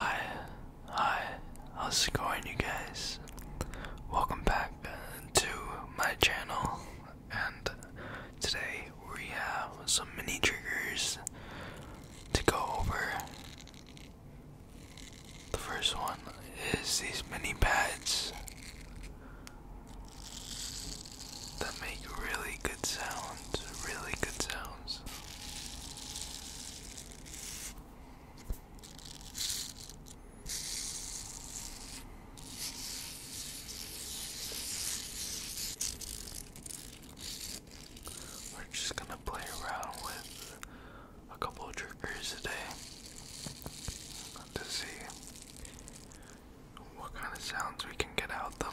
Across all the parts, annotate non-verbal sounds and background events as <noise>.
Hi, hi, how's it going you guys? Welcome back uh, to my channel and today we have some mini triggers to go over. The first one is these mini pads that make really good sounds, really good sounds. We're just gonna play around with a couple of today to see what kind of sounds we can get out of them.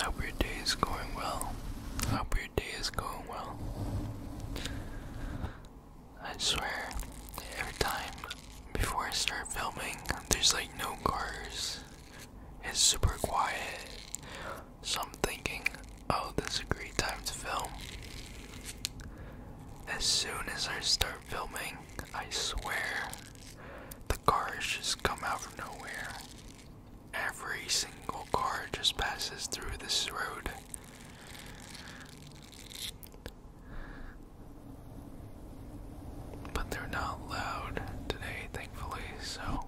I hope your day is going well. I hope your day is going well. I swear, every time before I start filming, there's like no cars. It's super quiet. So I'm thinking, oh, this is a great time to film. As soon as I start filming, I swear, the cars just come out of nowhere. Every single car just passes through this road. But they're not loud today, thankfully, so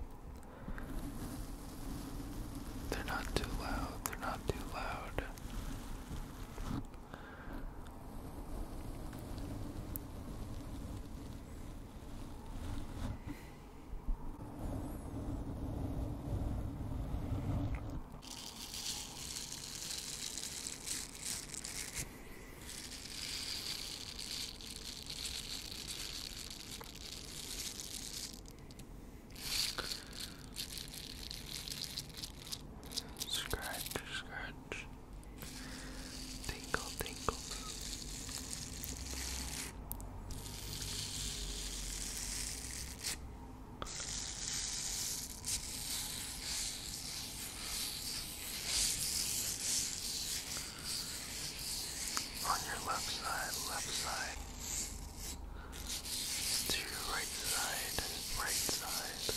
they're not too loud, they're not too loud. Scratch, scratch, tinkle, tinkle. Scratch, on your left side, left side. To your right side, right side.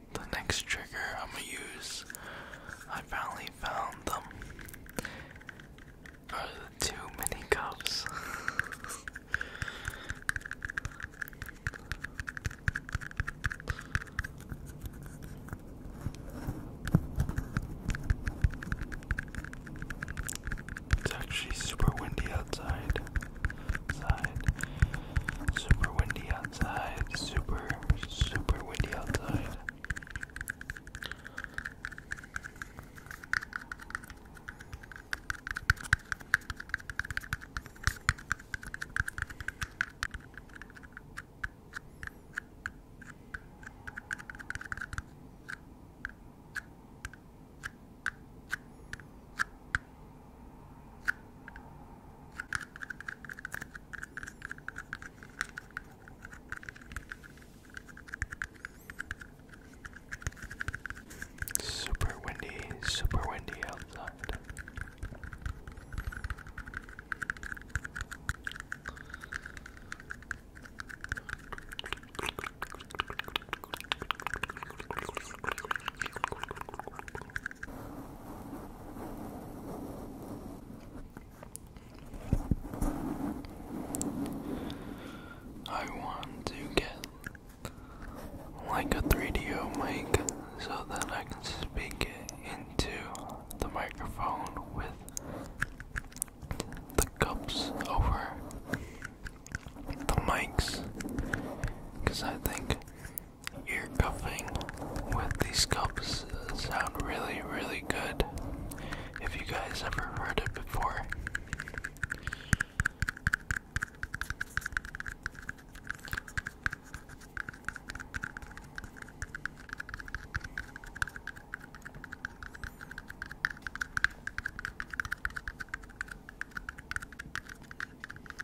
the next trigger I'm gonna use. I finally found them. Are the two mini cups? It's actually super windy outside. Side. Super windy outside outside. Super, super windy outside. Super windy, super windy outside. I want to get like a 3DO mic so that I can speak into the microphone with the cups over the mics because I think cuffing with these cups uh, sound really, really good. If you guys ever heard it before.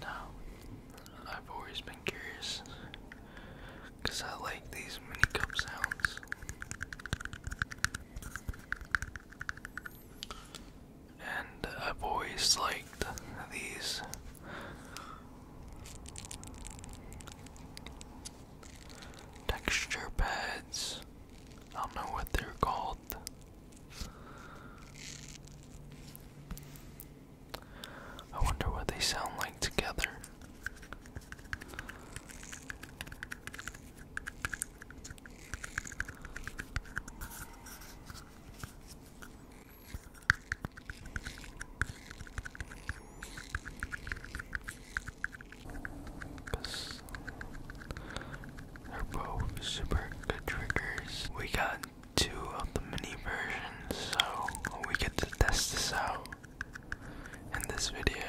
Now, I've always been curious because I like these mini cup sounds and I've always liked these. Texture pads. I don't know what they're called. I wonder what they sound like together. They're both super good triggers. We got two of the mini versions, so we get to test this out in this video.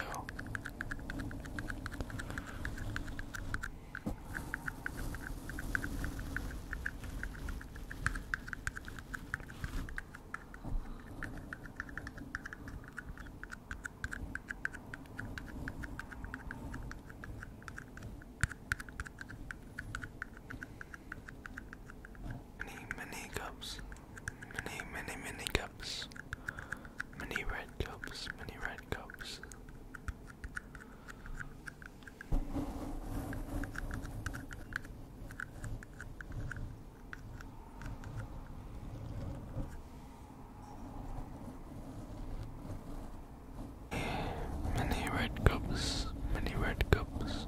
Many, many cups. Many, many, many cups. Many red cups, many red cups. Many red cups, many red cups.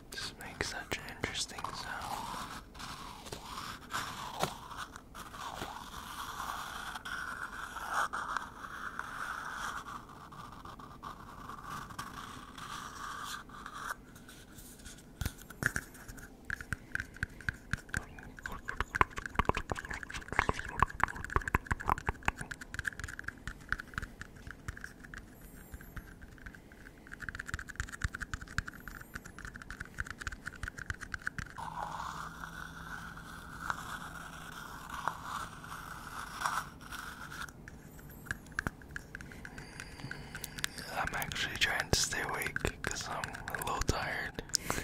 Just makes such an interesting sound. I'm actually trying to stay awake because I'm a little tired. <laughs>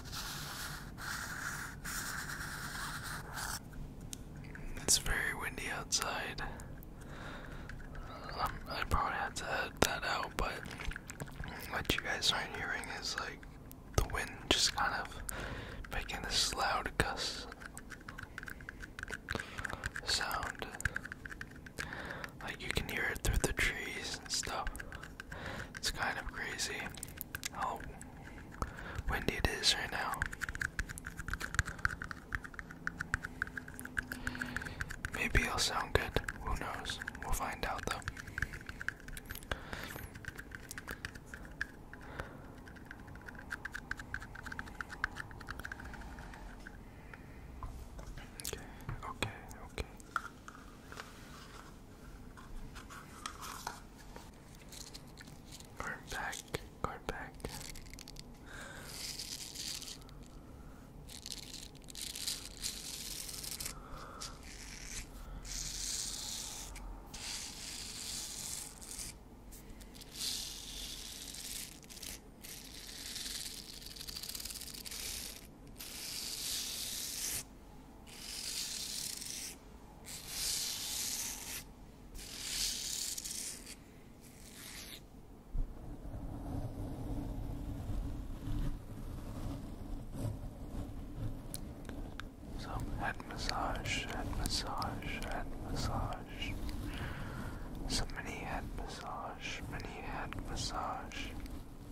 It's very windy outside. Um, I probably had to edit that out, but what you guys are hearing is like the wind just kind of making this loud gust sound. Like you can hear it through the trees and stuff. It's kind of crazy how windy it is right now. Maybe it'll sound good. Who knows? We'll find out though. Okay, okay, okay. Going back, going back. Some head massage, head massage, head massage. Some mini head massage, mini head massage.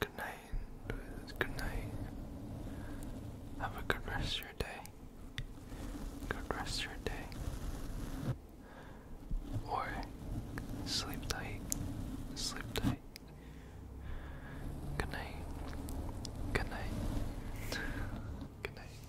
Good night, good night. Have a good rest of your day. Good rest your day. Or sleep tight. Sleep tight. Good night. Good night. Good night.